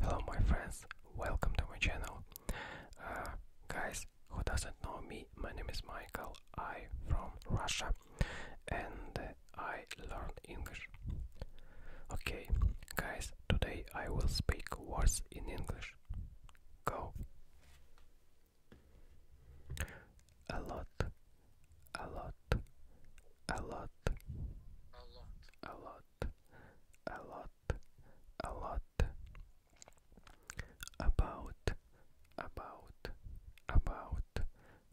Hello, my friends, welcome to my channel. Uh, guys who doesn't know me, my name is Michael, I from Russia and I learn English. Okay, guys, today I will speak words in English. Go a lot, a lot, a lot, a lot, a lot, a lot, a lot. About, about, about,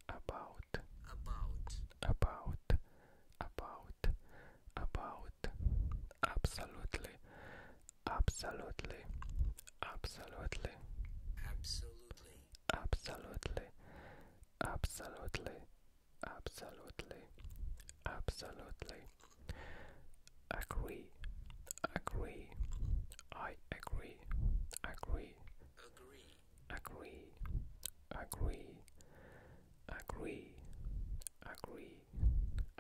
about, about, about, about, about, absolutely, absolutely, absolutely, absolutely absolutely, absolutely, absolutely, absolutely. Agree, agree, I agree, agree, agree, agree, agree, agree, agree,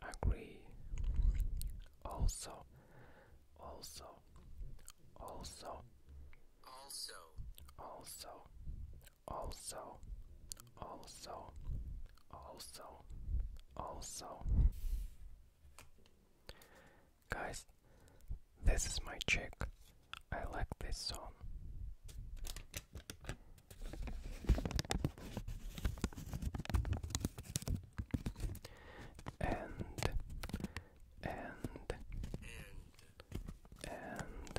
agree. Also, also also also also also also also also guys this is my chick I like this song and and and and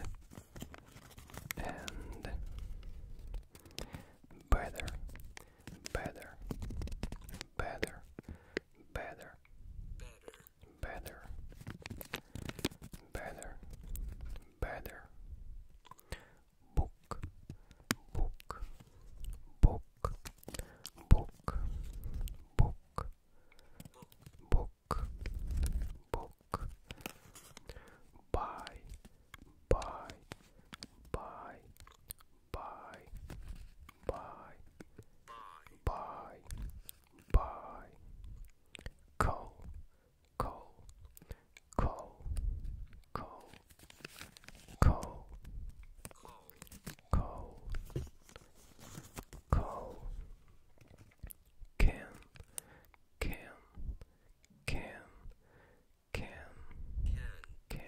better better better better better better better book book book book, book, book, book, book, buy, buy, buy, buy, buy, buy, buy, coal, coal, coal, coal, coal, coal, coal, can, can, can, can, can,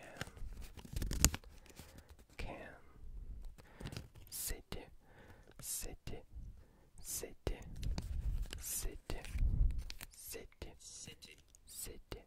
can, city, city, city, city, city, city, city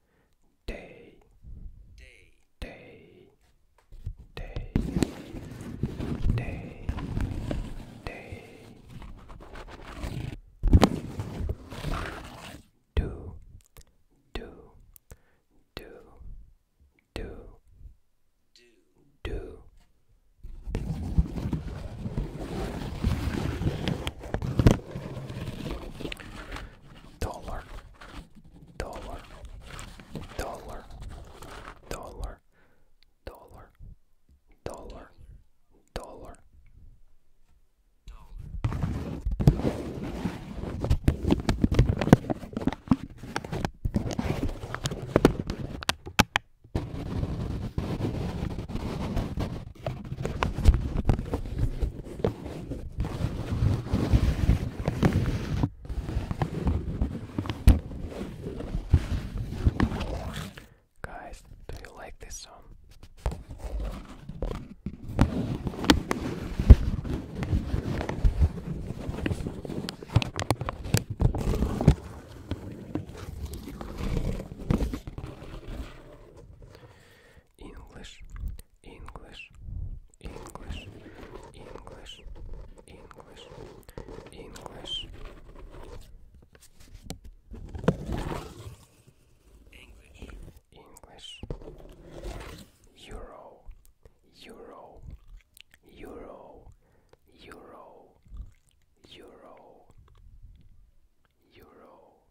day, day, day, day, day, day. Do, do, do, do, do, do dollar, dollar, dollar, dollar, dollar, dollar, dollar. Guys, do you like this song? English, English, English, English, English, English. English, English, Euro, Euro, Euro, Euro, Euro, euro,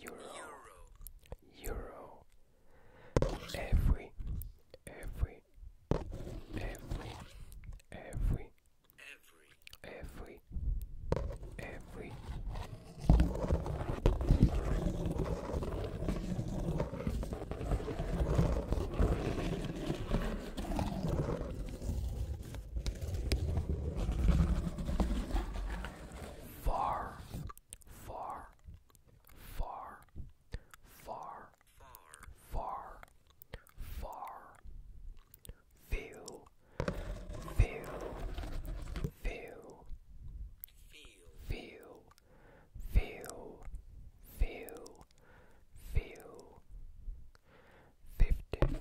euro, euro. Every, every, every, every, every, every. Far, far, far, far, far, far. Feel, feel, feel, feel, feel, feel, feel, fifty, fifty,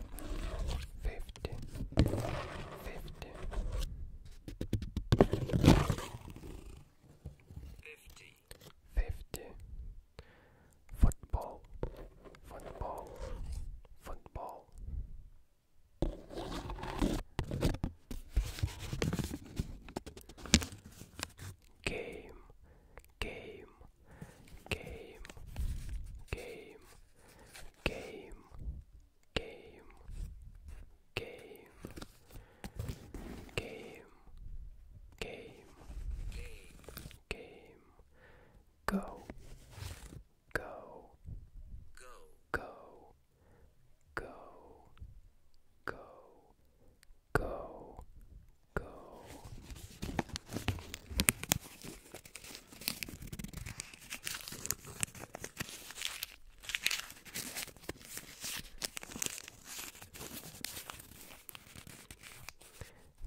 fifty, fifty, fifty, football, football, football game, game, game, game, game, game, game, game, game, game, go, go, go, go, go, go, go, go.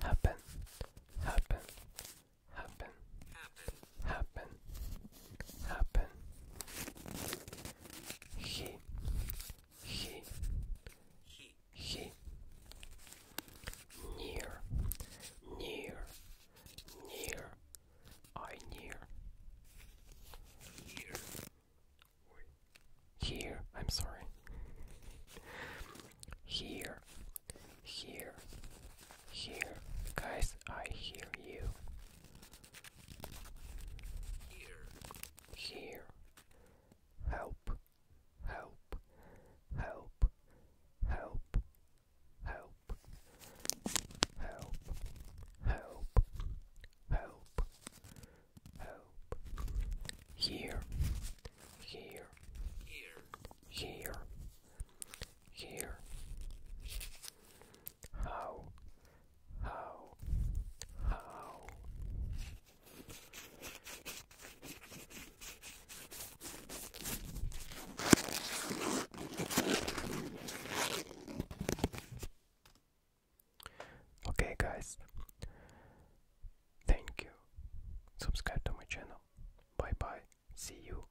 Happen, happen, happen, happen, happen. He, he, he, near, near, near, I near, here, here, I'm sorry, here, here, here, guys, I hear you. here, help, help, help, help, help, help, help, help, help, here, here, here, here, here, how, how, how. Okay, guys, thank you. Subscribe to my channel. Bye bye. See you.